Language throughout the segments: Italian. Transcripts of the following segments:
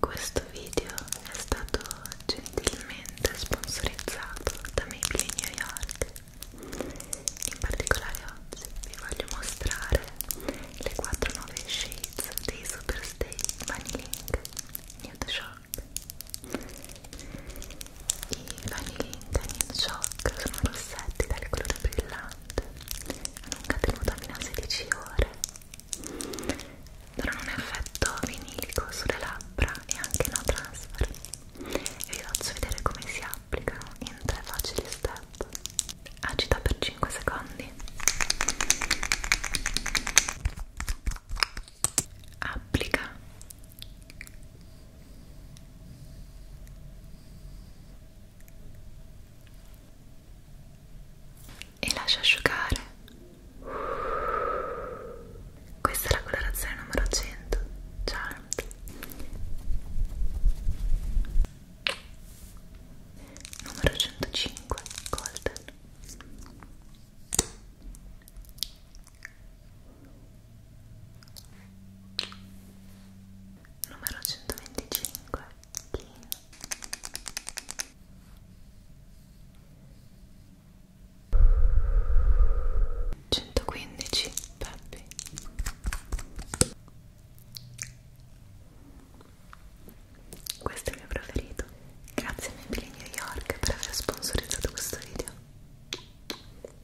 Questo video è stato gentilmente sponsorizzato da Maybelline New York. In particolare oggi vi voglio mostrare le 4 nuove shades dei Superstay Money Link Nude Shock. I Vanilla Italian Shock sono rossetti dal colore brillante, hanno un catenuto a fino a 16 ore, durano un effetto vinilico sulle labbra e anche no transfer. E vi faccio vedere come si applicano in tre facili step. Agita per 5 secondi applica e lascia asciugare questa è la colorazione numero 100 Charmed numero 105 Golden numero 125 Kin centoquindici Peppi questo è il mio preferito grazie a Maybelline New York per aver sponsorizzato questo video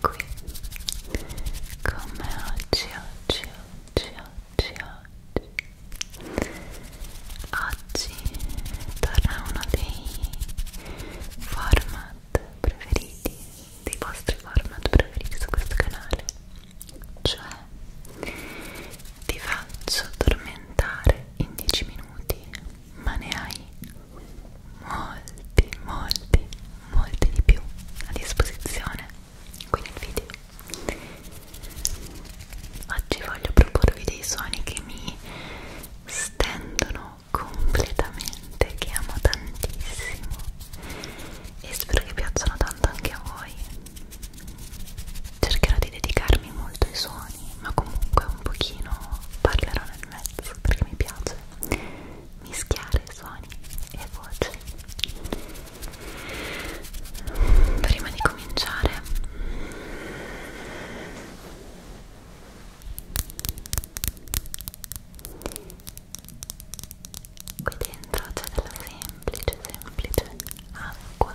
qui come oggi oggi oggi oggi oggi oggi torna uno dei format preferiti dei vostri format preferiti su questo canale cioè ti faccio tormentare in 10 minuti ma ne hai molti, molti, molti di più a disposizione qui nel video. Oggi voglio proporvi dei suoni che mi stendono completamente, che amo tantissimo e spero che piacciono tanto anche a voi. Cercherò di dedicarmi molto ai suoni, ma comunque un pochino parlerò nel mezzo perché mi piace mischiare suoni e voci prima di cominciare qui dentro c'è della semplice semplice acqua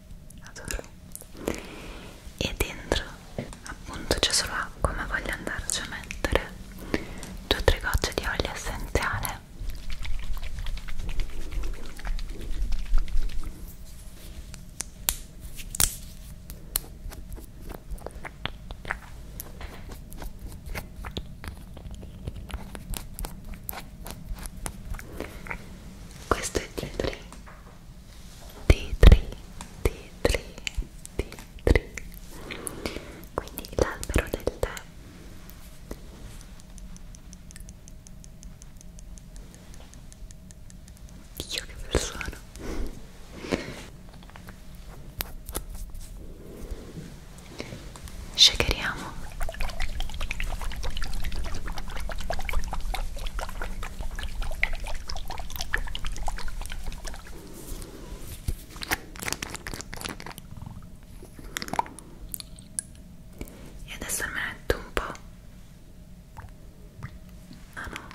adoro e dentro appunto c'è solo acqua ma voglio andarci a mettere due o tre gocce di olio essenziale questo è di T3, T3, T3 quindi l'albero del tè Dio che persona shakeriamo e adesso me ne metto un po' ah no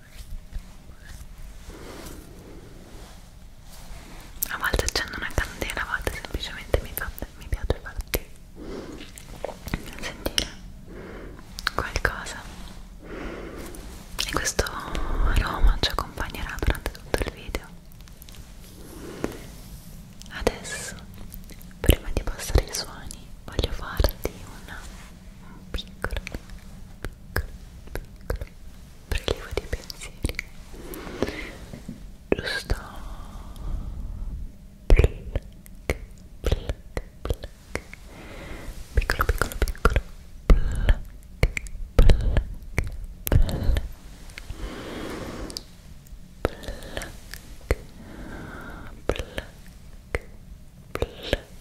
a volte accendo una candela a volte semplicemente mi, fa, mi piace farti sentire qualcosa e questo aroma ci accompagnerà durante tutto il video adesso prima di passare ai suoni voglio farti una, un piccolo piccolo piccolo piccolo prelievo dei pensieri giusto pluck, pluck, pluck. piccolo piccolo piccolo pluck, pluck, pluck. Pluck, pluck, pluck,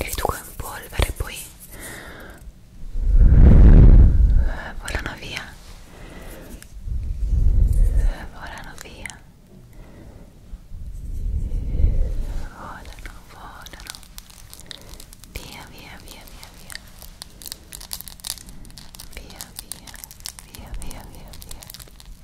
e riducono in polvere poi eh, volano via eh, volano via volano volano via via via via via via via via via via via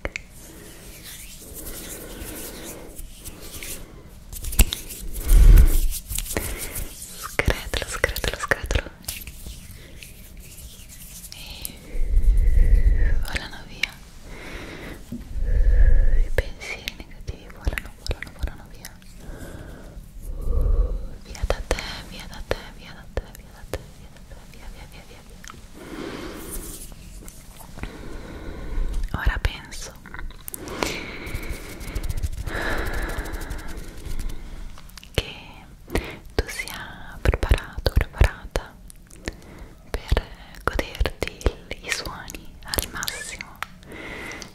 tac scretolo, scretolo, scretolo e volano via i pensieri negativi volano, volano, volano via via da te, via da te, via da te, via da te, via da te, via via via via ora penso che tu sia preparato, preparata per goderti i suoni al massimo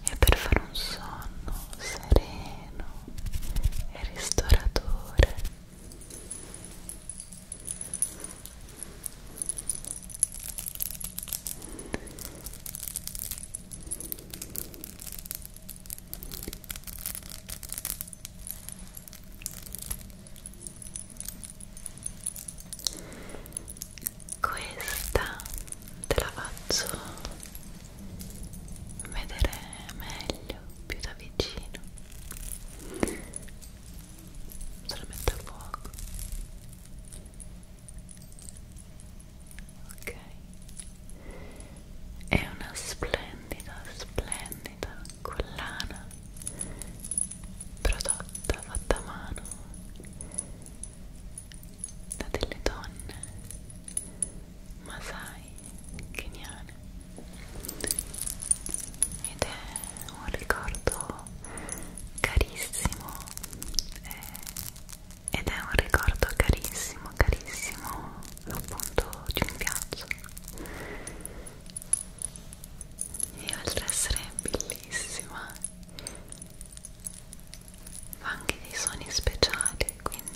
e per fare un sonno sereno e ristoratore questa te la faccio vedere meglio, più da vicino se la mette a fuoco ok è una splendida splendida collana prodotta fatta a mano da delle donne masai keniane ed è un ricordo carissimo eh, ed è un ricordo carissimo carissimo appunto di un viaggio e oltre ad essere bellissima fa anche dei suoni speciali quindi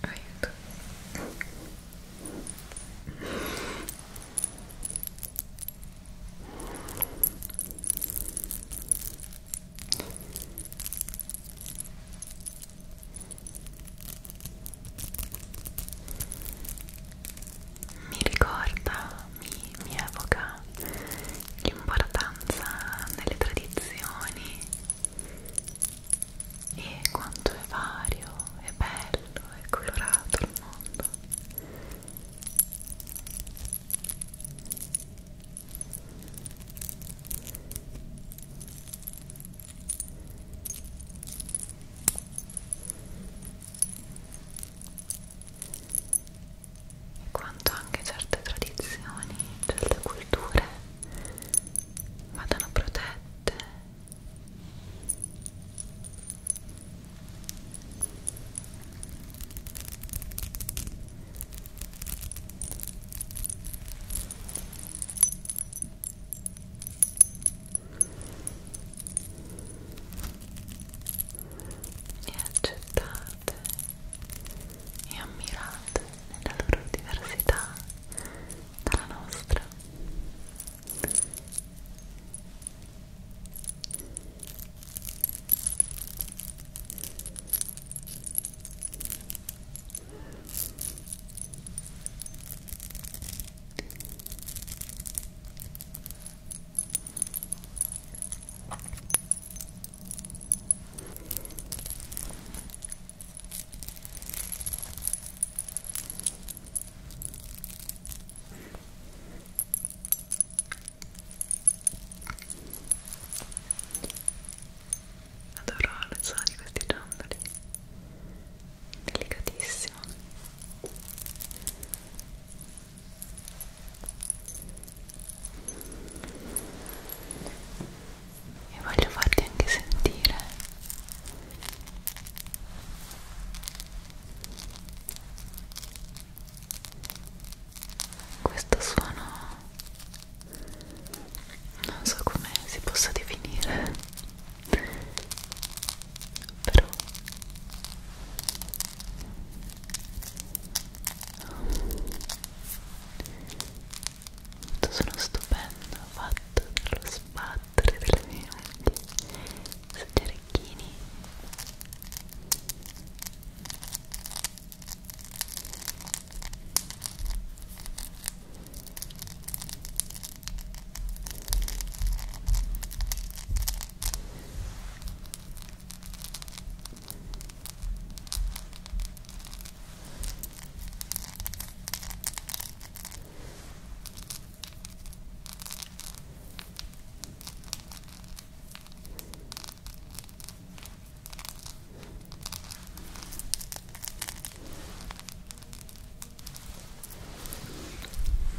aiuto mi ricorda, mi, mi evoca l'importanza delle tradizioni e quanto è vario, è bello, è colorato il mondo. E quanto anche certe tradizioni, certe culture vadano protette e accettate amate e ammirate nella loro diversità dalla nostra. Adoro lo suono di questi ciondoli Delicatissimo e voglio farti anche sentire questo suono non so come si possa definire però tutto sono stupendo fatto dallo sbattere delle mie unghie sugli orecchini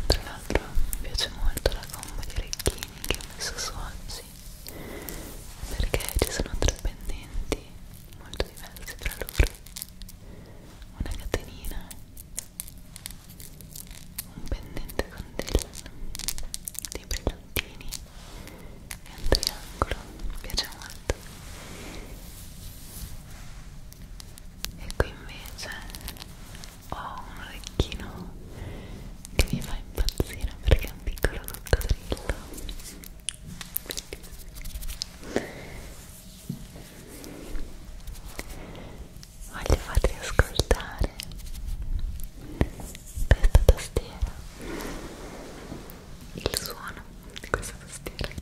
tra l'altro mi piace molto la gomma di orecchini che ho messo su oggi perché ci sono tre pendenti molto diversi tra loro una catenina un pendente con del, dei brillantini e un triangolo mi piace molto e qui invece ho un orecchino che mi fa impazzire perché è un piccolo coccodrillo Voglio farti ascoltare questa tastiera, il suono di questa tastiera. Io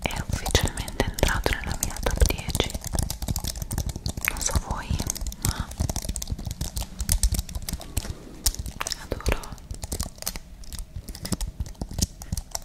è ufficialmente entrato nella mia top 10 non so voi ma adoro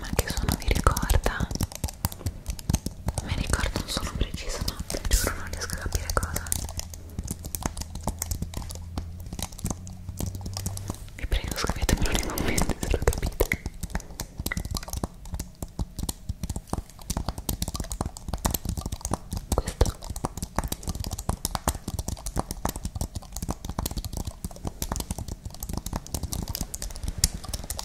Ma che suono vi ricorda? mi ricordo un suono preciso ma giuro non riesco a capire cosa vi prego scrivetemelo nei commenti se lo capite questo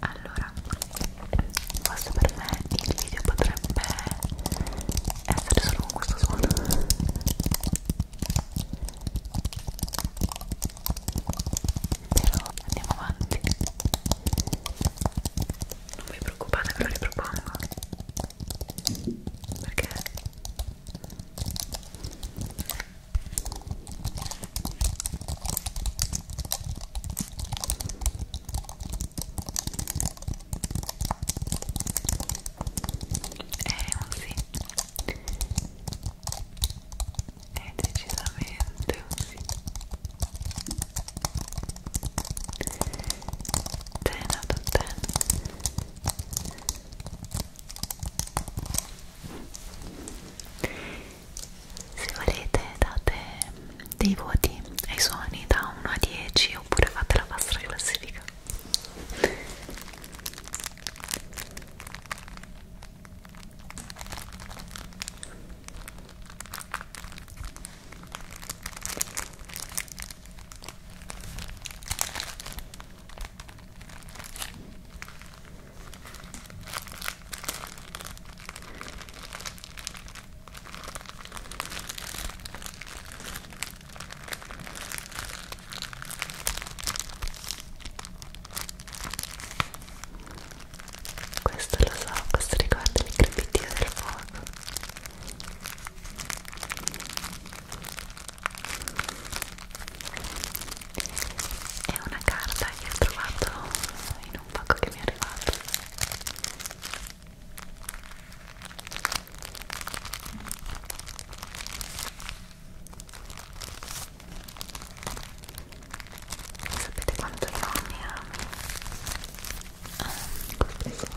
Allora, questo per me il video potrebbe essere solo con questo suono però andiamo avanti non vi preoccupate ve lo ripropongo perché è un sì è decisamente un sì ten out of ten se volete date dei voti ai suoni da 1 a 10 oppure fate la vostra classifica questo lo so, questo riguarda il crepitio del fuoco è una carta che ho trovato in un pacco che mi è arrivato Sapete quanto io mi amo? Ah, queste sono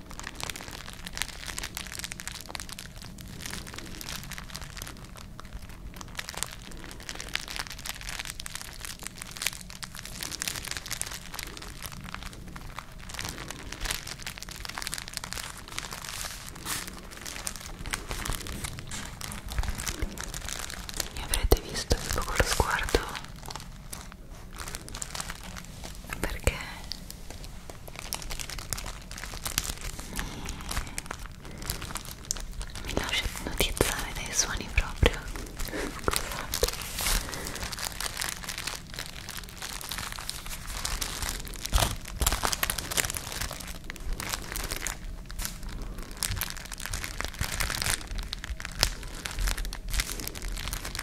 Mi avrete visto tipo con lo sguardo perché mi, mi lascia notizzare dai suoni proprio scusate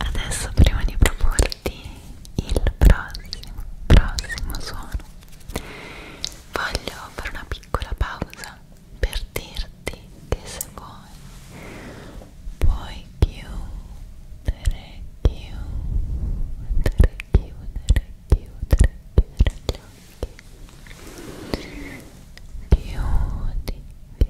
Adesso prima di proporti il prossimo, prossimo suono, voglio fare una piccola pausa per dirti che se vuoi puoi chiudere, chiudere, chiudere, chiudere, chiudere gli occhi. Chiudi, chiudi,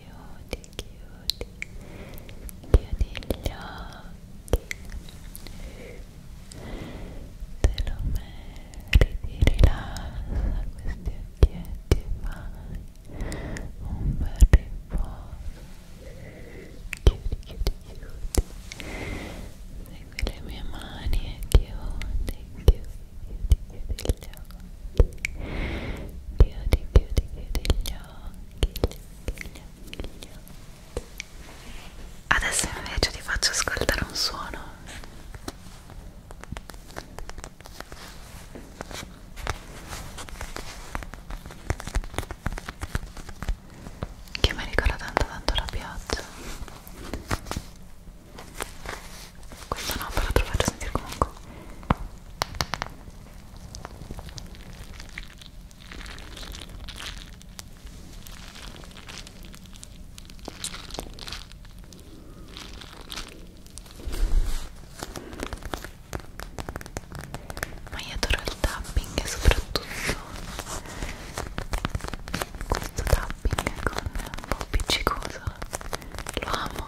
chiudi chiudi chiudi gli occhi te lo meriti rilassa questi occhietti fai un bel riposo chiudi chiudi chiudi segui le mie mani e chiudi chiudi Chiudi, chiudi gli occhi, chiudi, chiudi, chiudi gli occhi, Adesso invece ti faccio ascoltare un suono. Che mi ricorda tanto tanto la pioggia. Questo no, però te lo faccio sentire comunque ma io adoro il tapping e soprattutto questo tapping con un po' appiccicoso lo amo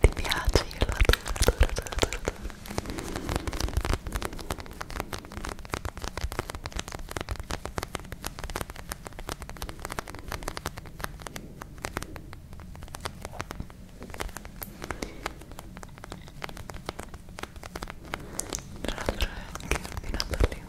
Ti piace? Io lo adoro, adoro, adoro, adoro, Tra l'altro è anche ordinato per le unghie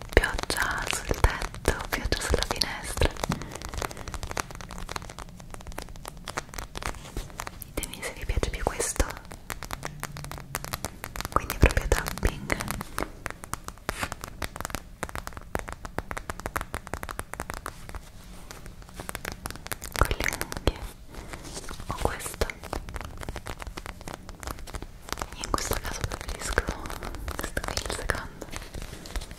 pioggia sul tetto, pioggia sulla finestra ditemi se vi piace più questo quindi proprio tapping con le unghie o questo io in questo caso preferisco questo qui il secondo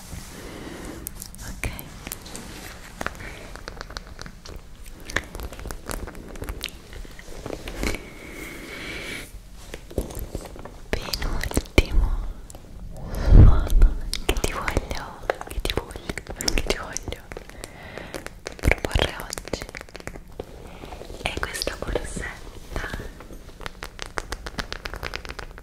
ok penultimo suono che ti voglio che ti voglio che ti voglio proporre oggi è questa borsetta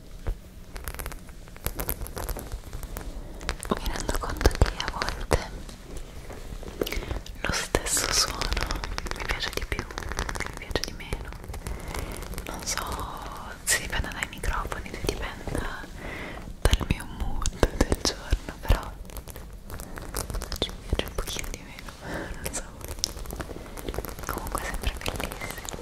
mi rendo conto che a volte lo stesso suono mi piace di più, mi piace di meno non so se dipende dai microfoni, se dipende dal mio mood del giorno però ci piace un pochino di meno, non so comunque sempre bellissimo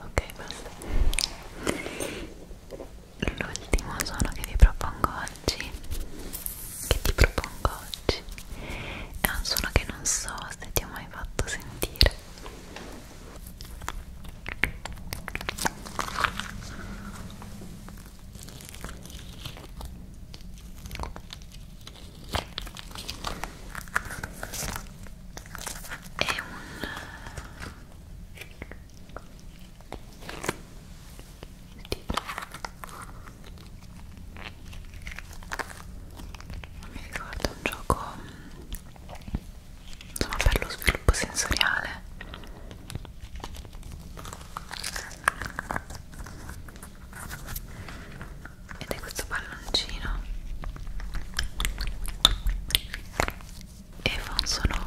Ok, basta. L'ultimo suono che vi propongo oggi, che ti propongo oggi è un suono che non so se ti ho mai fatto sentire è un eh, tipo mi ricordo un gioco insomma per lo sviluppo sensoriale ed è questo palloncino e fa un suono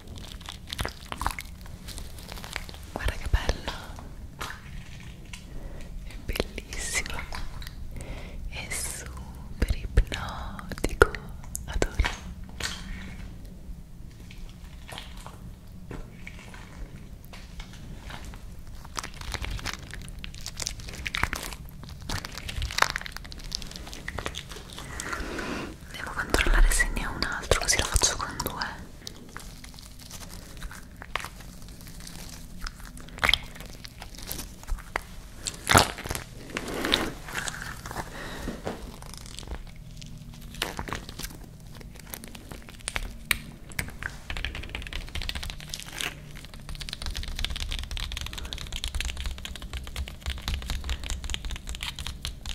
guarda che bella è bellissimo è super ipnotico adoro devo controllare se ne ho un altro così lo faccio con due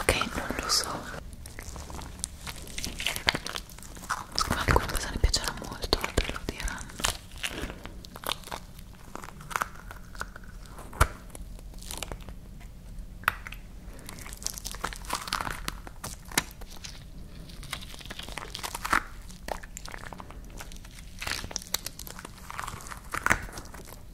ok non lo so ma alcune persone piacerà molto altre lo diranno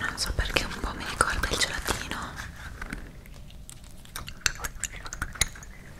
Non so perché un po' mi ricorda il gelatino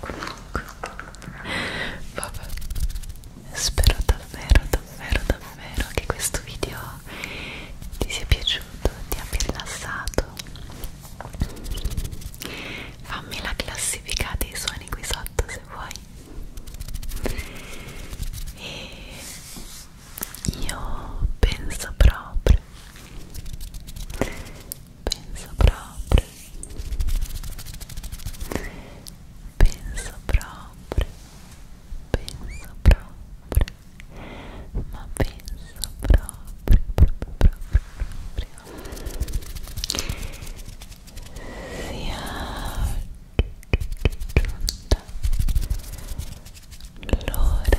comunque vabbè spero davvero davvero davvero che questo video ti sia piaciuto ti abbia rilassato fammi la classifica dei suoni qui sotto se vuoi e io penso proprio amore penso proprio penso proprio penso proprio ma penso proprio proprio proprio proprio sia giunta l'ora di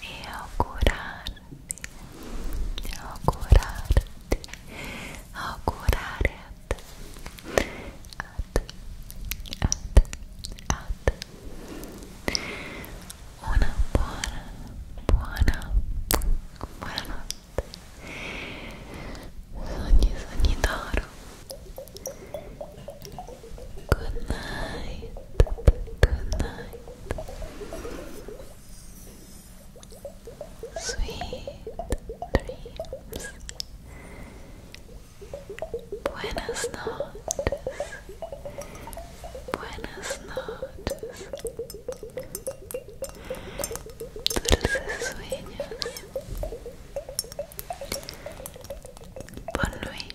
e augurarti, augurarti, augurare a te, a te, a te, a te, una buona, buona, buonanotte, sogni, sogni d'oro Good night. Good night. Sweet dreams. Buenas noches. Buenas noches. Dulces sueños. Bonne nuit.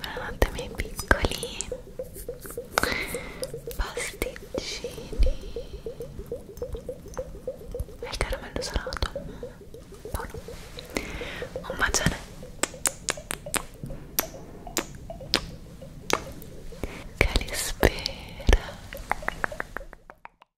Buonanotte miei piccoli pasticcini e il caramello salato buono un bacione che li spera